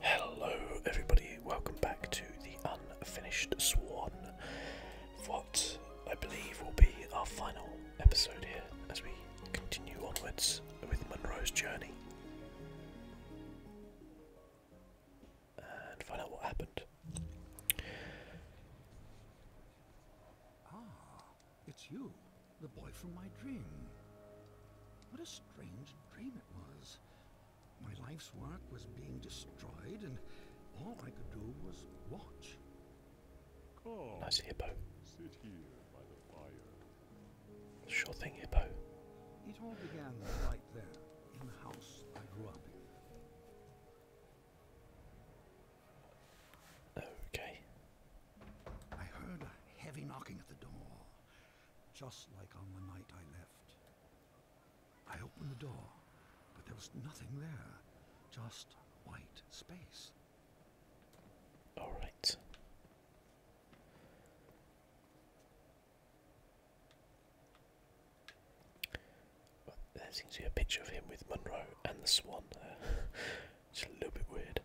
Hello, everybody. Welcome back to the Unfinished Swan. What I believe will be our final episode here as we continue onwards with Monroe's journey and find out what happened. Ah, it's you. The boy from my dream. What a strange dream it was. My life's work was being destroyed, and all I could do was watch. Nice hippo. Sit here by the fire. Sure thing, hippo. It all began right there, in the house I grew up in. Okay. I heard a heavy knocking at the door, just like on the night I left. I opened the door, but there was nothing there, just white space. All right. there seems to be a picture of him with Monroe and the swan there. it's a little bit weird.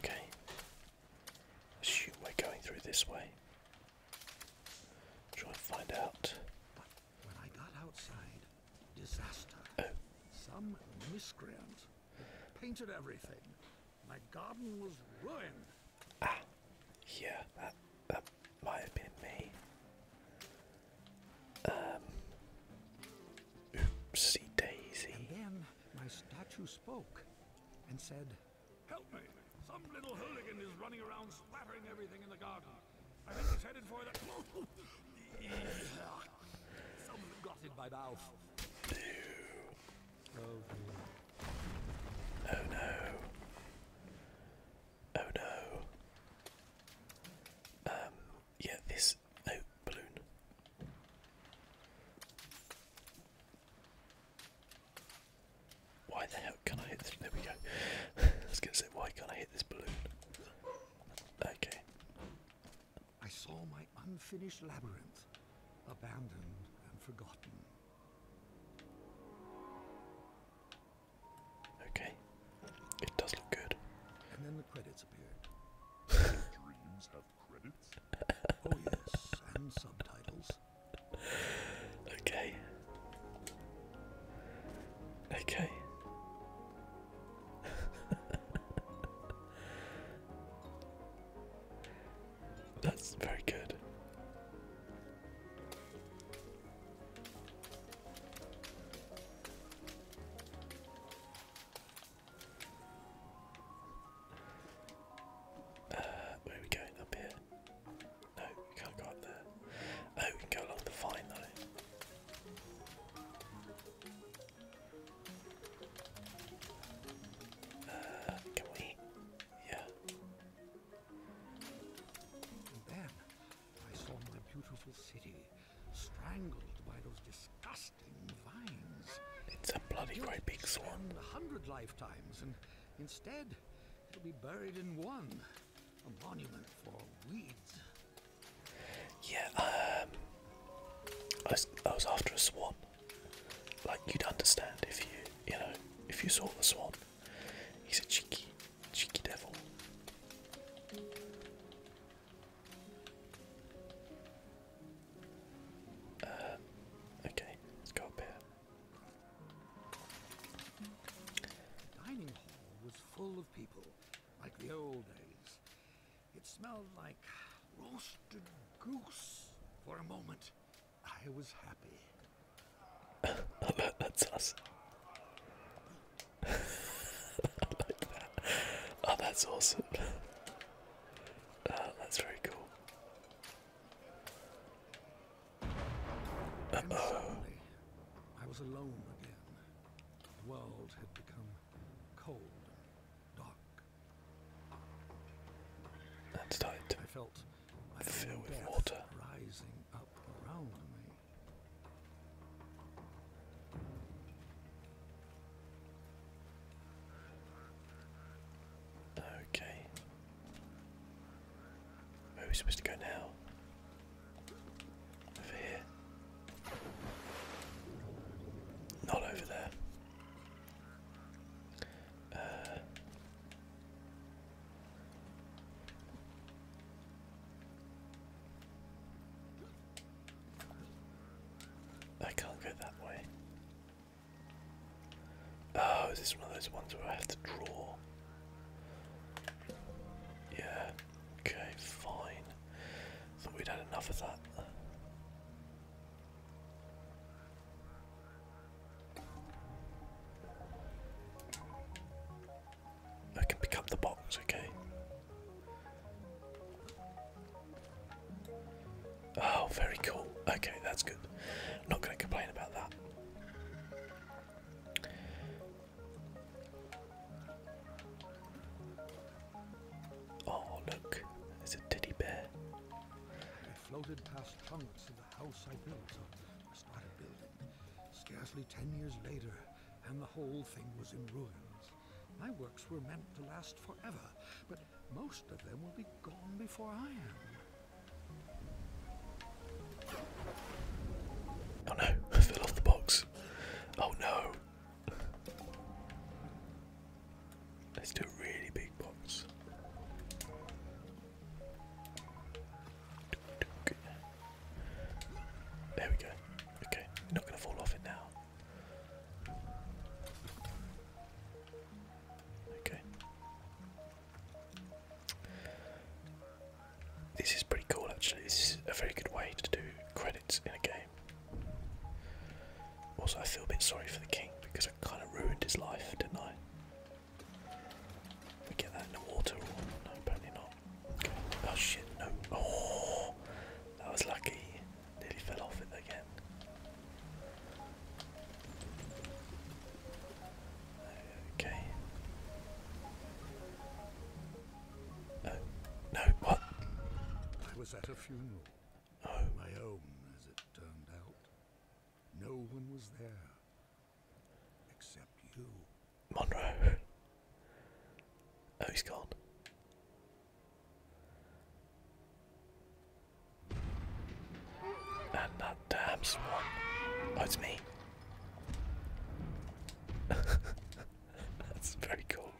Okay. Assume we're going through this way. Try and find out when I got outside, disaster. Some miscreant painted everything. My garden was ruined. Ah, yeah, that might have been me. Um, oopsie daisy. And then my statue spoke and said, "Help me! Some little hooligan is running around splattering everything in the garden." I think he's headed for the... Someone got in my mouth. Oh, no. Oh no. Um, yeah, this... Oh, balloon. Why the hell can I hit this? There we go. I was going to why can't I hit this balloon? Okay. I saw my unfinished labyrinth, abandoned and forgotten. Okay. It does look good. And then the credits appeared. Dreams have credits? oh yes, and subtitles. Okay. Okay. That's very good. Uh, where are we going up here? No, you can't go there. Oh, we can go along the vine though. Uh, can we? Yeah. then I saw my beautiful city strangled by those disgusting vines. It's a bloody great big swan. hundred lifetimes, and instead it'll be buried in one. A monument for weeds. Yeah, um, I was, after a swan. Like you'd understand if you, you know, if you saw the swan. He's a cheeky, cheeky devil. Uh, okay, let's go up here full of people, like the old days. It smelled like roasted goose for a moment. I was happy. That's us. Oh, that's awesome. Oh, that's very cool suddenly, I was alone again. The world had become cold and dark. That's tight. I felt I fill with water rising up around me. Okay. Where are we supposed to go now? Over here. Not over there. Uh, I can't go that way. Oh, is this one of those ones where I have to draw yeah, okay, fine. Thought we'd had enough of that. I can pick up the box, okay. Oh, very cool. Okay, that's good. I'm not going to complain about that. Oh, look, there's a teddy bear. I floated past trunks of the house I built or started building. Scarcely ten years later, and the whole thing was in ruins. My works were meant to last forever, but most of them will be gone before I am. Oh no, fell off the box. Oh no. Let's do a really big box. There we go. Okay, not gonna fall off it now. Okay. This is pretty cool actually. It's a very good way to do credits in a game. Also, I feel a bit sorry for the king because I kind of ruined his life, didn't I? We get that in the water, or no, apparently not. Oh shit, no. Oh, that was lucky. Nearly fell off it again. Okay. Uh, no, what? I was at a funeral. Oh. My own, as it turned out. No one was there. Except you. Monroe. Oh, he's gone. And that damn oh, it's me. That's very cool.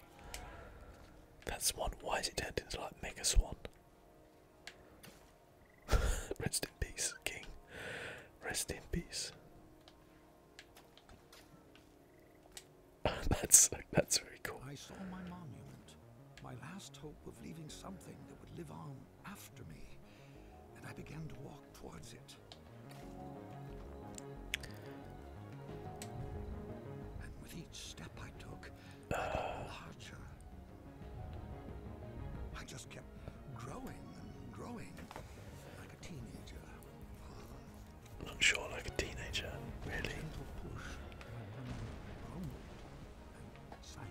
That swan, why is it turned into like Mega Swan? Rest in peace, King. Rest in peace. that's that's very cool. I saw my monument, my last hope of leaving something that would live on after me, and I began to walk towards it. And with each step I took, I got larger. I just kept growing and growing like a teenager. not sure, like a teenager, really.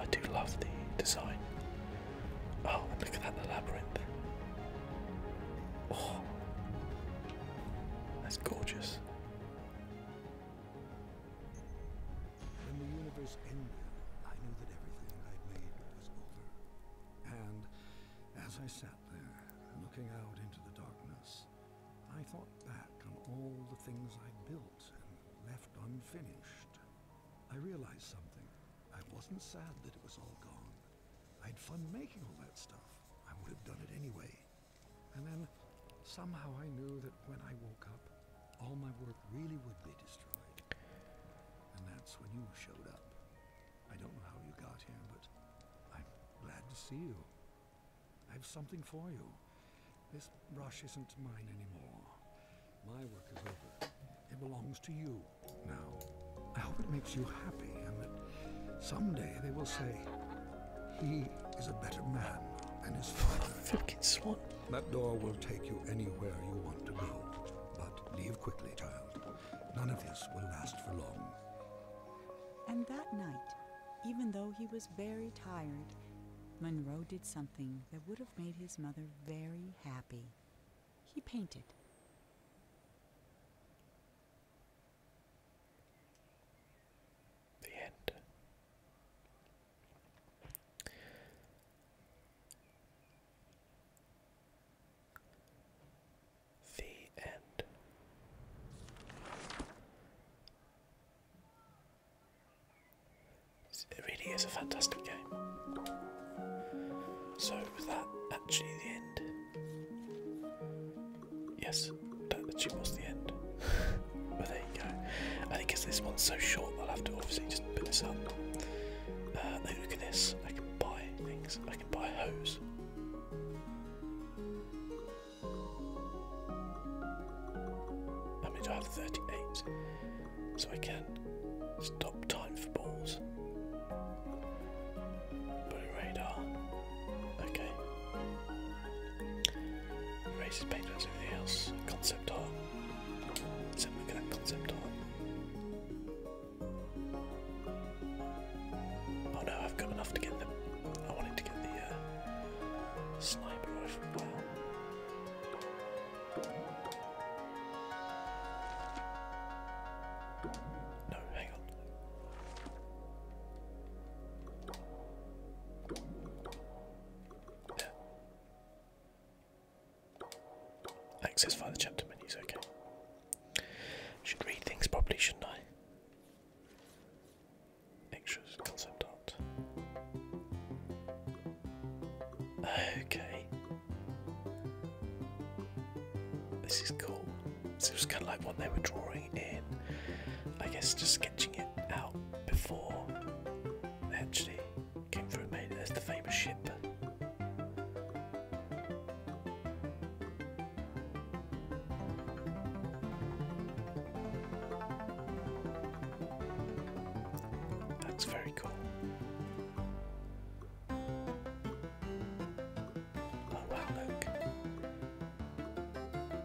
I do love the design. Oh, look at that, labyrinth. Oh, that's gorgeous. And as I sat there, looking out into the darkness, I thought back on all the things I'd built left unfinished. I realized something. I wasn't sad that it was all gone. I had fun making all that stuff. I would have done it anyway. And then somehow I knew that when I woke up, all my work really would be destroyed. And that's when you showed up. I don't know how you got here, but I'm glad to see you. I have something for you. This brush isn't mine anymore. My work is over. It belongs to you now. I hope it makes you happy and that someday they will say, he is a better man than his father. Fucking swan. That door will take you anywhere you want to go. But leave quickly, child. None of this will last for long. And that night, even though he was very tired, Monroe did something that would have made his mother very happy. He painted. The end. The end. It really is a fantastic game. So, was that actually the end? Yes, that actually was the end. well, there you go. I think because this one's so short, I'll have to obviously just put this up. Uh, look at this. I can buy things. I can buy a hose. I Damage I have 38, so I can stop time for balls. Blue radar. Okay. Races paint as everything else. Concept art. Let's have a look at concept art. Oh no, I've got enough to get them. I wanted to get the uh, Sniper rifle No, hang on. Access via the chapter menus, okay. Should read things properly, shouldn't I? Extras, concept art. Okay. This is cool. This it was kind of like what they were drawing in, I guess, just sketching it out before actually came through made as the famous ship. That's very cool. Oh wow, look.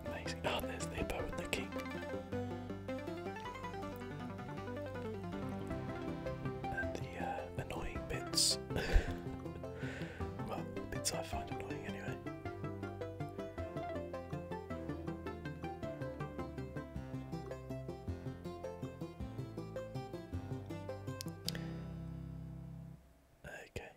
Amazing. Oh, there's hippo and the king. And the uh, annoying bits. Well, bits I find annoying anyway. Okay.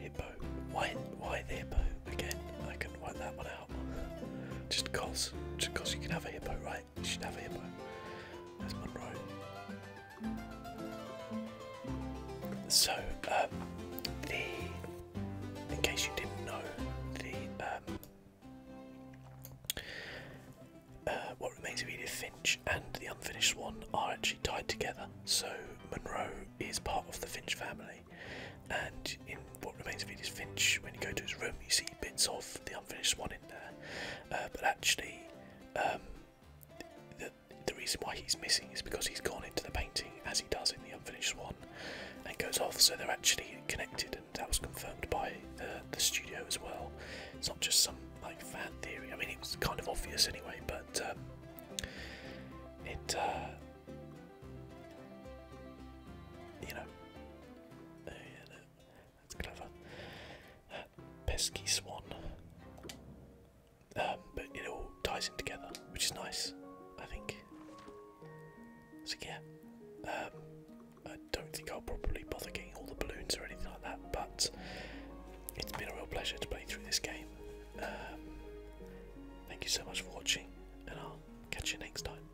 Hippo. Why why hippo? Again, I couldn't work that one out. Just cause. Just cause you can have a hippo, right? like shit over here, but So, um, the in case you didn't know, the um, uh, what remains of Edith Finch and the unfinished one are actually tied together. So Monroe is part of the Finch family, and in what remains of Edith Finch, when you go to his room, you see bits of the unfinished one in there, uh, but actually, um, the, reason why he's missing is because he's gone into the painting as he does in the unfinished one and goes off, so they're actually connected, and that was confirmed by uh, the studio as well. It's not just some like fan theory. I mean, it was kind of obvious anyway, but um, it, uh, you know, oh, that's clever. Uh, pesky swan. Um, but it all ties in together, which is nice, I think. So yeah, um, I don't think I'll probably bother getting all the balloons or anything like that, but it's been a real pleasure to play through this game. Um, thank you so much for watching, and I'll catch you next time.